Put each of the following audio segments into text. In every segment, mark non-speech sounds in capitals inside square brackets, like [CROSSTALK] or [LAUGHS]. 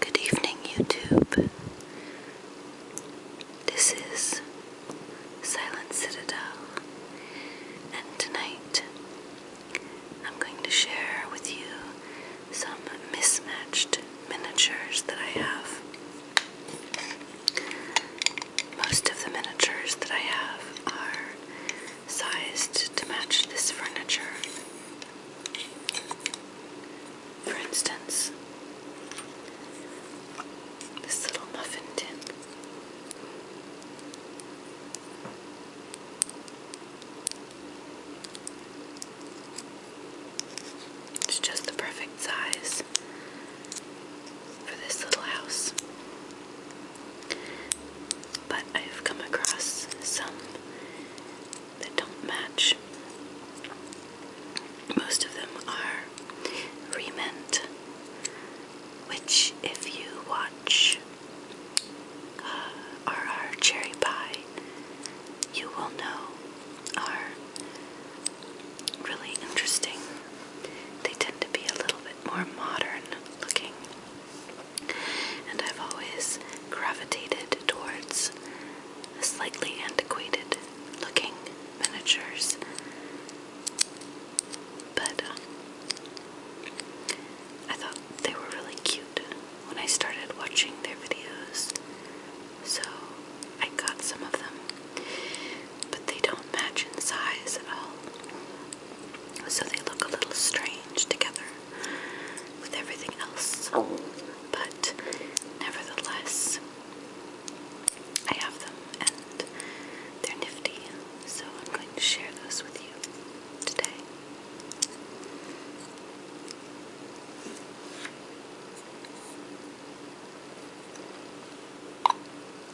Good evening, YouTube. This is Silent Citadel, and tonight I'm going to share with you some mismatched miniatures that I have. Most of the miniatures that I have are sized to match this furniture. For instance, this little muffin tin. It's just the perfect size for this little house. But I've come across some that don't match. Most of them are remint, which, if you watch uh, our cherry pie, you will know are really interesting they tend to be a little bit more modern looking. And I've always gravitated towards slightly antiquated looking miniatures. But um, I thought they were really cute when I started watching their videos. So I got some of them but they don't match in size at all. So they look a little strange together with everything else. But nevertheless, I have them and they're nifty, so I'm going to share those with you today.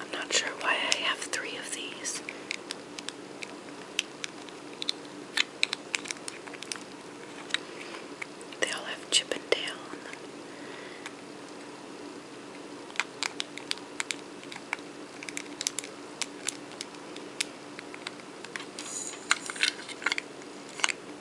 I'm not sure why I have three of these. They all have Chip on them.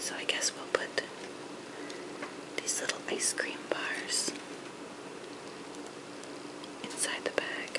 So I guess we'll put these little ice cream bars inside the bag.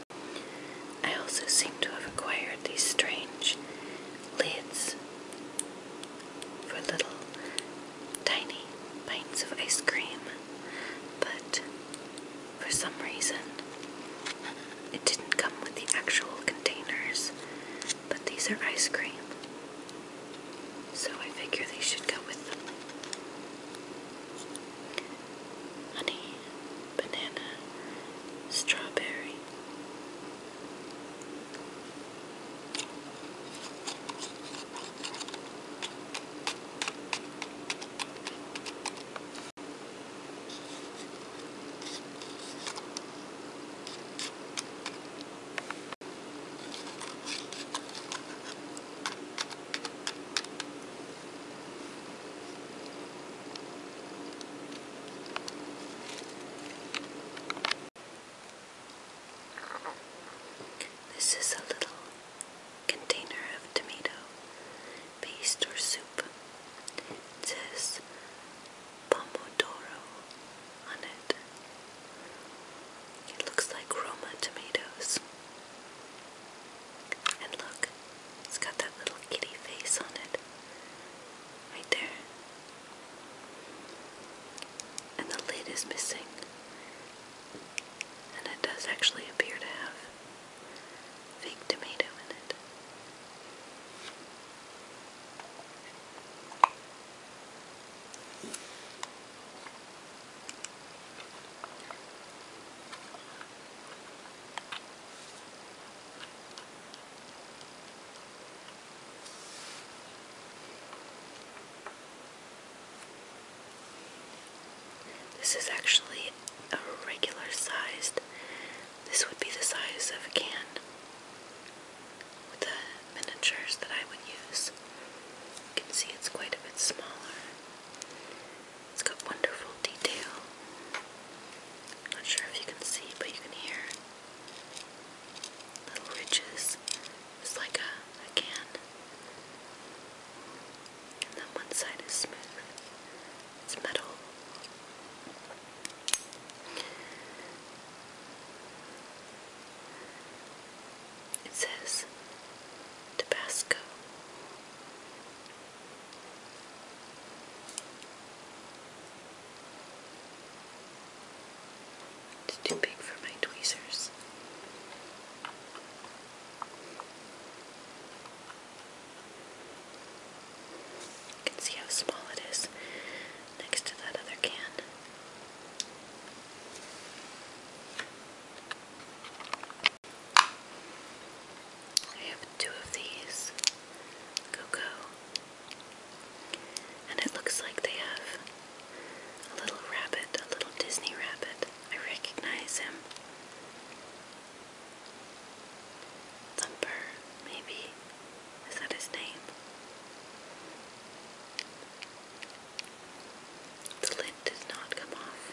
I also seem to have acquired these strange lids for little tiny pints of ice cream, but for some reason it didn't come with the actual containers, but these are ice cream. So I figure they should go with them honey, banana, strawberry. This is a little container of tomato paste or soup. It says Pomodoro on it. It looks like Roma tomatoes. And look, it's got that little kitty face on it. Right there. And the lid is missing. And it does actually appear to have fake tomato in it. This is actually a regular sized, this would be the size of a can with the miniatures that I would use. You can see it's quite a bit smaller. It's got wonderful detail. Not sure if you can see, but you can hear little ridges. It's like a, can. And then one side is smooth. It's metal. It says Tabasco. It's too big for my tweezers. You can see how small it is next to that other can. I have two of these cocoa, and it looks like they have a little rabbit, a little Disney rabbit. I recognize him. Thumper, maybe. Is that his name? The lid does not come off.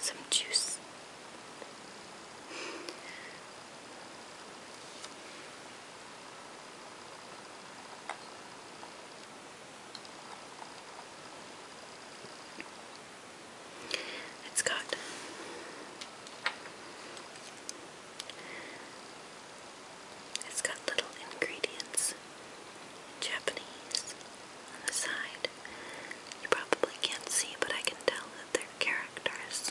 Some juice. It's got it's got little ingredients Japanese on the side. You probably can't see, but I can tell that they're characters.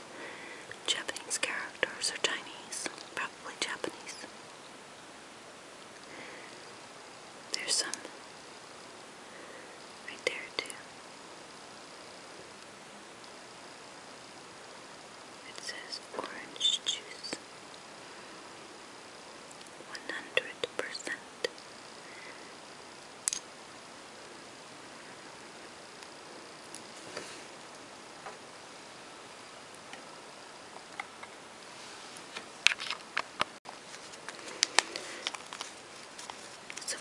Japanese characters or Chinese, probably Japanese. There's some right there, too. It says orange juice. 100%. Some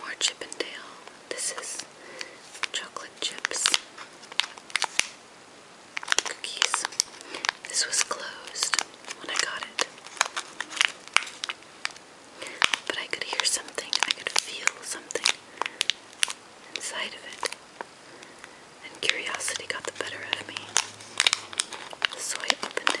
more Chippendale. This is chocolate chips, cookies. This was closed when I got it. But I could hear something, I could feel something inside of it. And curiosity got the better of me. So I opened it.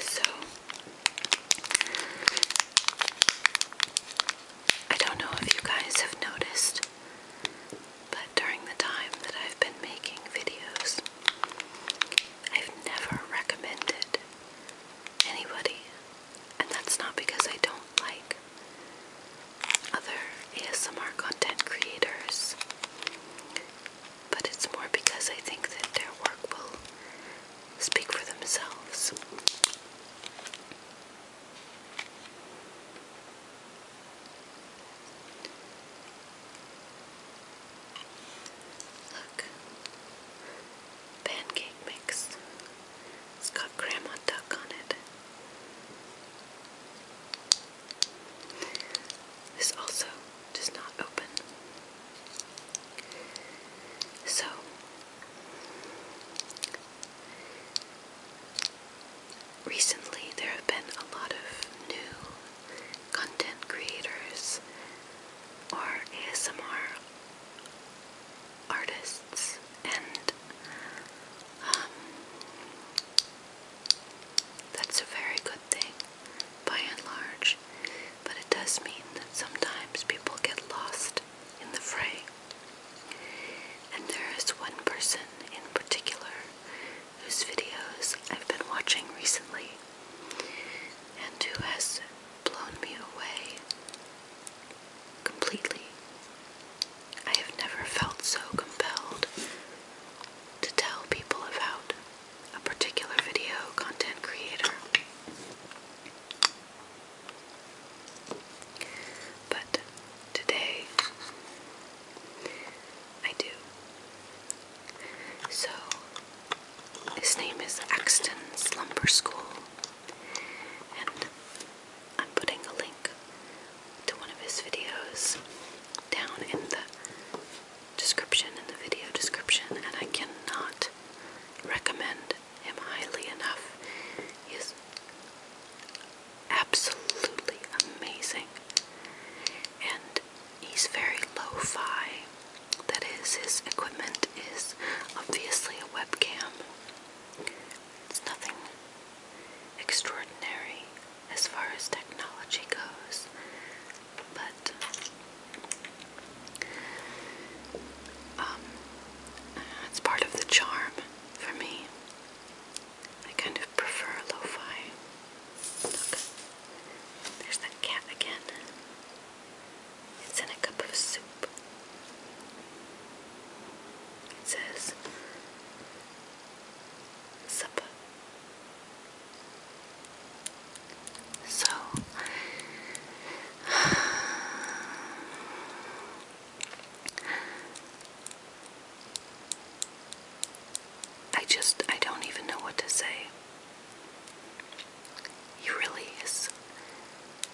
So I don't know if you guys have noticed, but during the time that I've been making videos, I've never recommended anybody and that's not because I don't like other ASMR content creators, but it's more because I think that their work will speak for themselves. Look, pancake mix. It's got Grandma Duck on it. This also does not open. So, recently there have been a lot of new content creators or ASMR artists and um, that's a very good thing by and large but it does mean that sometimes people get lost in the fray and there is one person in particular whose videos I've been watching recently and who has blown me away completely. I have never felt so compelled to tell people about a particular video content creator. But today I do. So his name is Axton Slumber School and I'm putting a link to one of his videos down in the description, in the video description, and I cannot recommend him highly enough. He absolutely amazing. And he's very lo-fi. That is, his equipment is obviously a webcam. It's nothing extraordinary as far as technology goes, but um, it's part of the charm for me. I kind of prefer lo-fi. Look, there's that cat again. It's in a cup of soup. It says supper. So [SIGHS] I just I don't even know what to say. He really has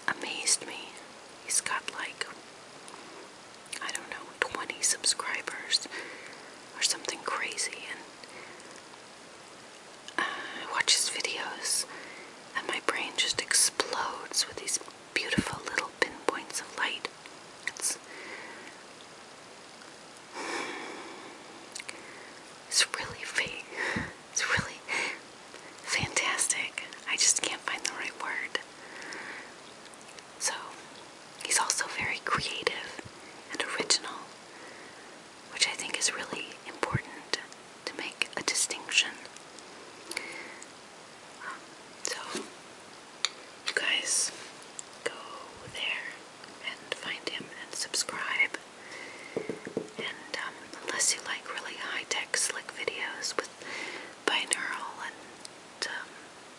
amazed me. He's got like, I don't know, 20 subscribers or something crazy. And uh, watches videos, and my brain just explodes with these beautiful little pinpoints of light. It's, it's really fake. [LAUGHS] It's really fantastic. I just can't find the right word. So, he's also very creative and original, which I think is really important to make a distinction. so, you guys go there and find him and subscribe. And um, unless you like really high-tech, slick videos with binaural and um,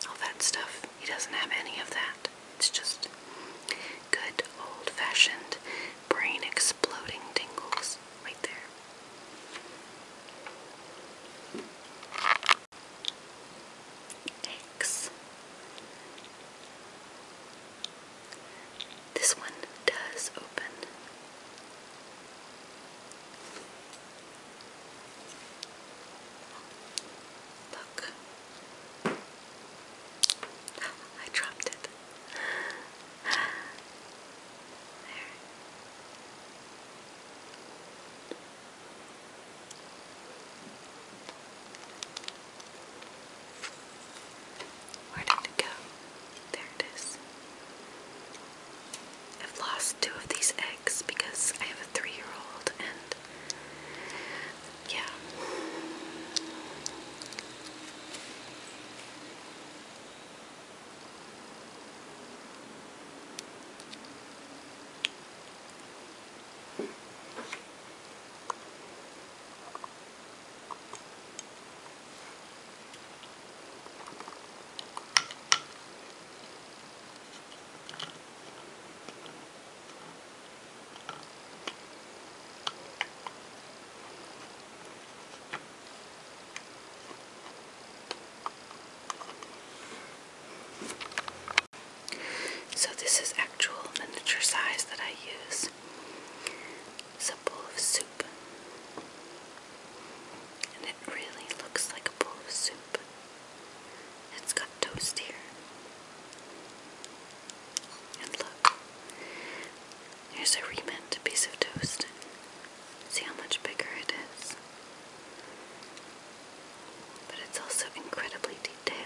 all that stuff, he doesn't have any of that. It's just good old-fashioned brain exploding tingles right there. X. This one does open. Look. Oh, I dropped it. [GASPS] There. Where did it go? There it is. I've lost two of these eggs because I have a three year old and yeah. So this is actual miniature size that I use is a bowl of soup. And it really looks like a bowl of soup. It's got toast here. And look, here's a remint piece of toast. See how much bigger it is. But it's also incredibly detailed.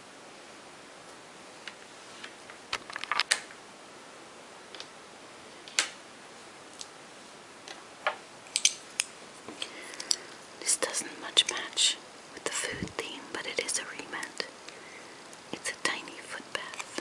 This doesn't much match with the food theme, but it is a remnant. It's a tiny footbath.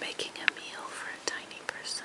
Making a meal for a tiny person.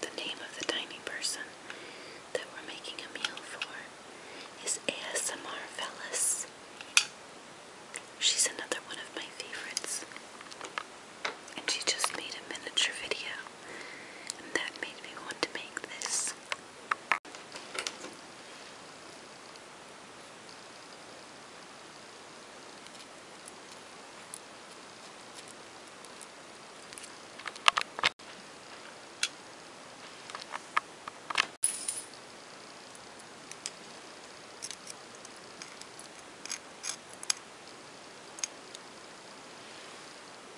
The name of the tiny person that we're making a meal for is ASMR Fellas. She's another one of my favorites. And she just made a miniature video and that made me want to make this.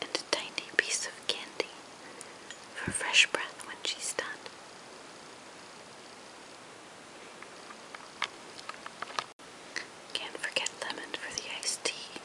and a tiny piece of candy for fresh breath when she's done. Can't forget lemon for the iced tea.